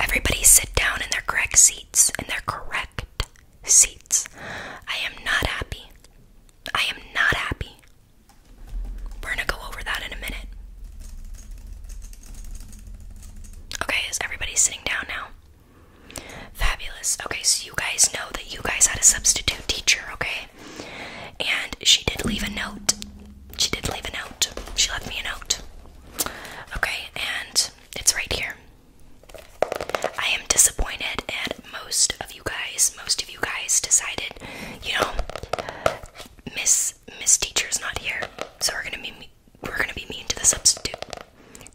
Everybody sit down in their correct seats, in their correct seats. I am not happy. I am not happy. We're gonna go over that in a minute. Okay, is everybody sitting down now? Fabulous. Okay, so you guys know that you guys had a substitute teacher, okay? And she did leave a note. She did leave a note. She left me a note. Okay, and it's right here. I am disappointed and most of you guys. Most of you guys decided, you know, Miss Miss Teacher is not here, so we're gonna be we're gonna be mean to the substitute.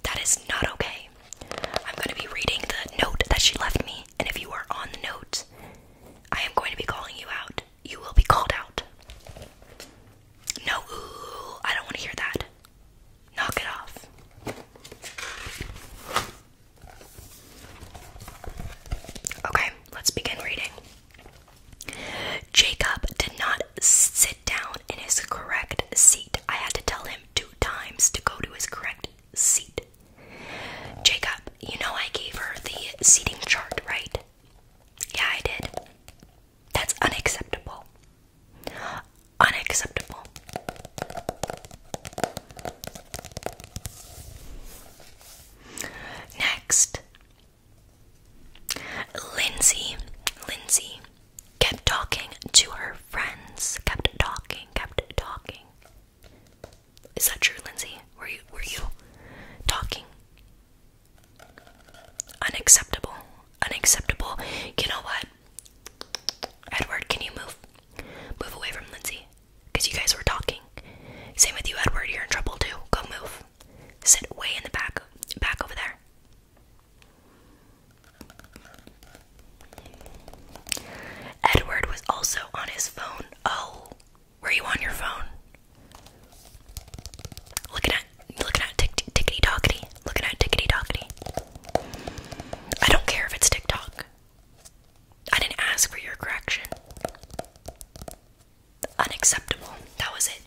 That is not okay. I'm gonna be reading the note that she left me, and if you are on the note, I am going to be calling you out you will be called out. No, I don't want to hear that. Knock it off. Okay, let's begin reading. Jacob did not sit down in his correct seat. I had to tell him two times to go to his correct seat. Jacob, you know I gave her the seating chart, right? Yeah, I did. That's unacceptable. Unacceptable. Next, Lindsay. Lindsay kept talking to her friends. Kept talking. Kept talking. Is that true, Lindsay? Were you were you talking Unacceptable. Unacceptable. You know what? Edward, can you move? Move away from Lindsay. Because you guys were talking. Same with you, Edward. You're in trouble too. Go move. Sit way in the back. Back over there. Edward was also on his phone. Oh, were you on your phone? Looking at looking at tick tickety tockety. Looking at tickety tockety. I don't care if it's TikTok. I didn't ask for your correction. Unacceptable. That was it.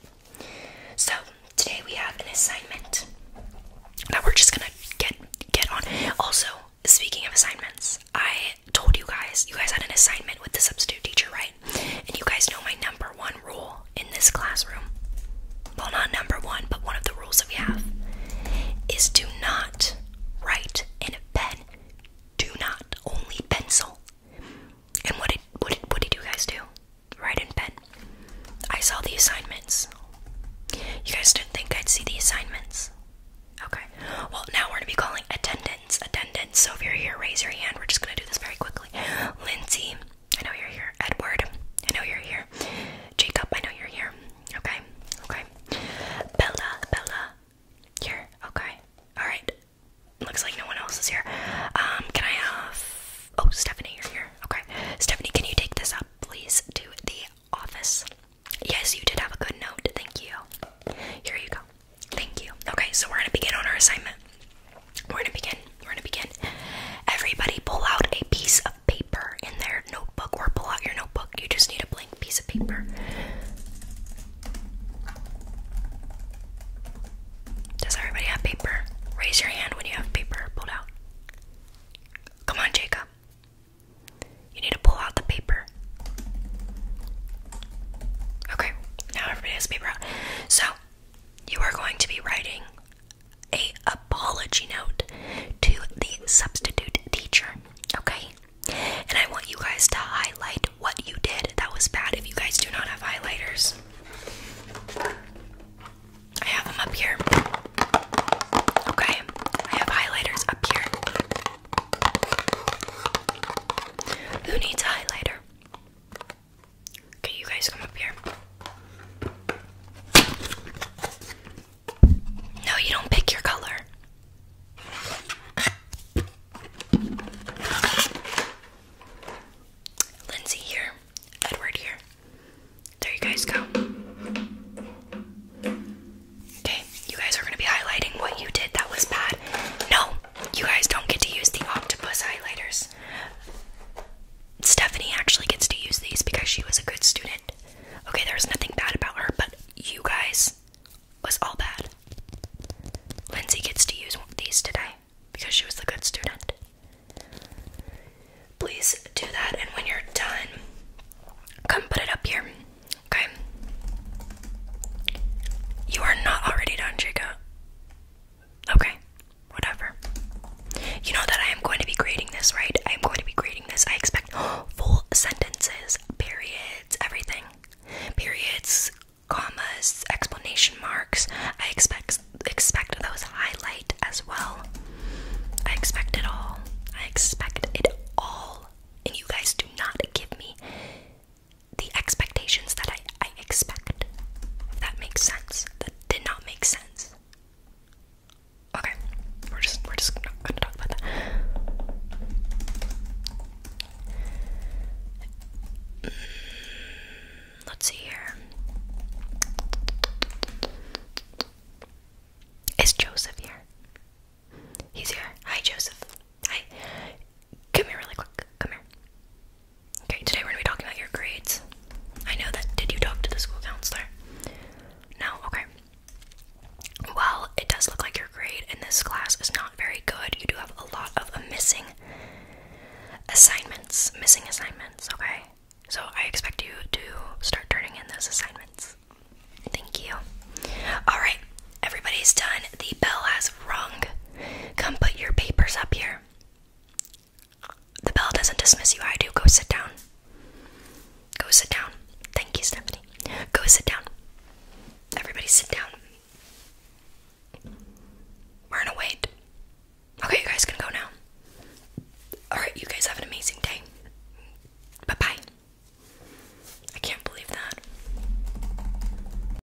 So today we have an assignment that we're just gonna get get on. Also, speaking of assignments, I told you guys you guys had an assignment with the substitute teacher, right? And you guys know my number one rule in this classroom well, not number one, but one of the rules that we have is do not write in a pen, do not only pencil. And what did, what did, what did you guys do? Write in pen. I saw the assignments. You guys didn't think I'd see the assignments? Okay. Well, now we're going to be calling attendance attendance, So if you're here, raise your hand. We're just gonna do this very quickly. Lindsay, I know you're here. Edward, I know you're here. Jacob, I know you're here. Okay, okay. Bella, Bella, here. Okay, all right. Looks like no one else is here. Um, can I have? Oh, Stephanie, you're here. Okay, Stephanie, can you take this up, please, to the office? Yes, you did have a good note. Thank you. Here you go. Thank you. Okay, so we're gonna begin on our assignment. We're gonna begin. We're gonna begin. Everybody pull out a piece of paper in their notebook or pull out your notebook. You just need a blank piece of paper. Does everybody have paper? Raise your hand when you have paper pulled out. Come on, Jacob. You need to pull out the paper. Okay, now everybody has paper out. So you are going to be writing a apology note to the substitute teacher, okay? And I want you guys to highlight what you did that was bad if you guys do not have highlighters. I have them up here. Okay, I have highlighters up here. Who needs a highlighter? Okay, you guys come up here. No, you don't pick your color. Lindsay here, Edward here. There you guys go. Okay, you guys are going to be highlighting what you did that was bad. No, you guys don't get to use the octopus highlighters. Stephanie actually gets to use these because she was a good student. Okay, there's nothing bad about her, but you guys was all bad. Lindsay gets to use these today because she was the good student. Please do that, and when you're done, come put it up here. Okay? You are not already done, Jacob. Okay, whatever. You know that I am going to be grading this, right? I am going to be grading this. I expect full sentences, periods, everything. Periods, commas, explanation marks. I expect expect those highlight as well. I expect it all. I expect it all. And you guys do not give me the expectations that I, I expect. that makes sense. That did not make sense. Okay, we're just we're just not gonna talk about that. Mm, let's see here. Is Joseph here? He's here. Hi, Joseph. Hi. Come here really quick. Come here. Okay, today we're gonna be talking about your grades. I know that. Did you talk to the school counselor? No? Okay. Well, it does look like your grade in this class is not very good. You do have a lot of missing assignments. Missing assignments, okay? So I expect you to start turning in those assignments. Thank you. Alright, everybody's done. The bell has rung. Come put your papers up here. The bell doesn't dismiss you, I do. Go sit down. Go sit down. Thank you, Stephanie. Go sit down. Everybody sit down. We're gonna wait. Okay, you guys can go now. Alright, you guys have an amazing day. Bye bye. I can't believe that.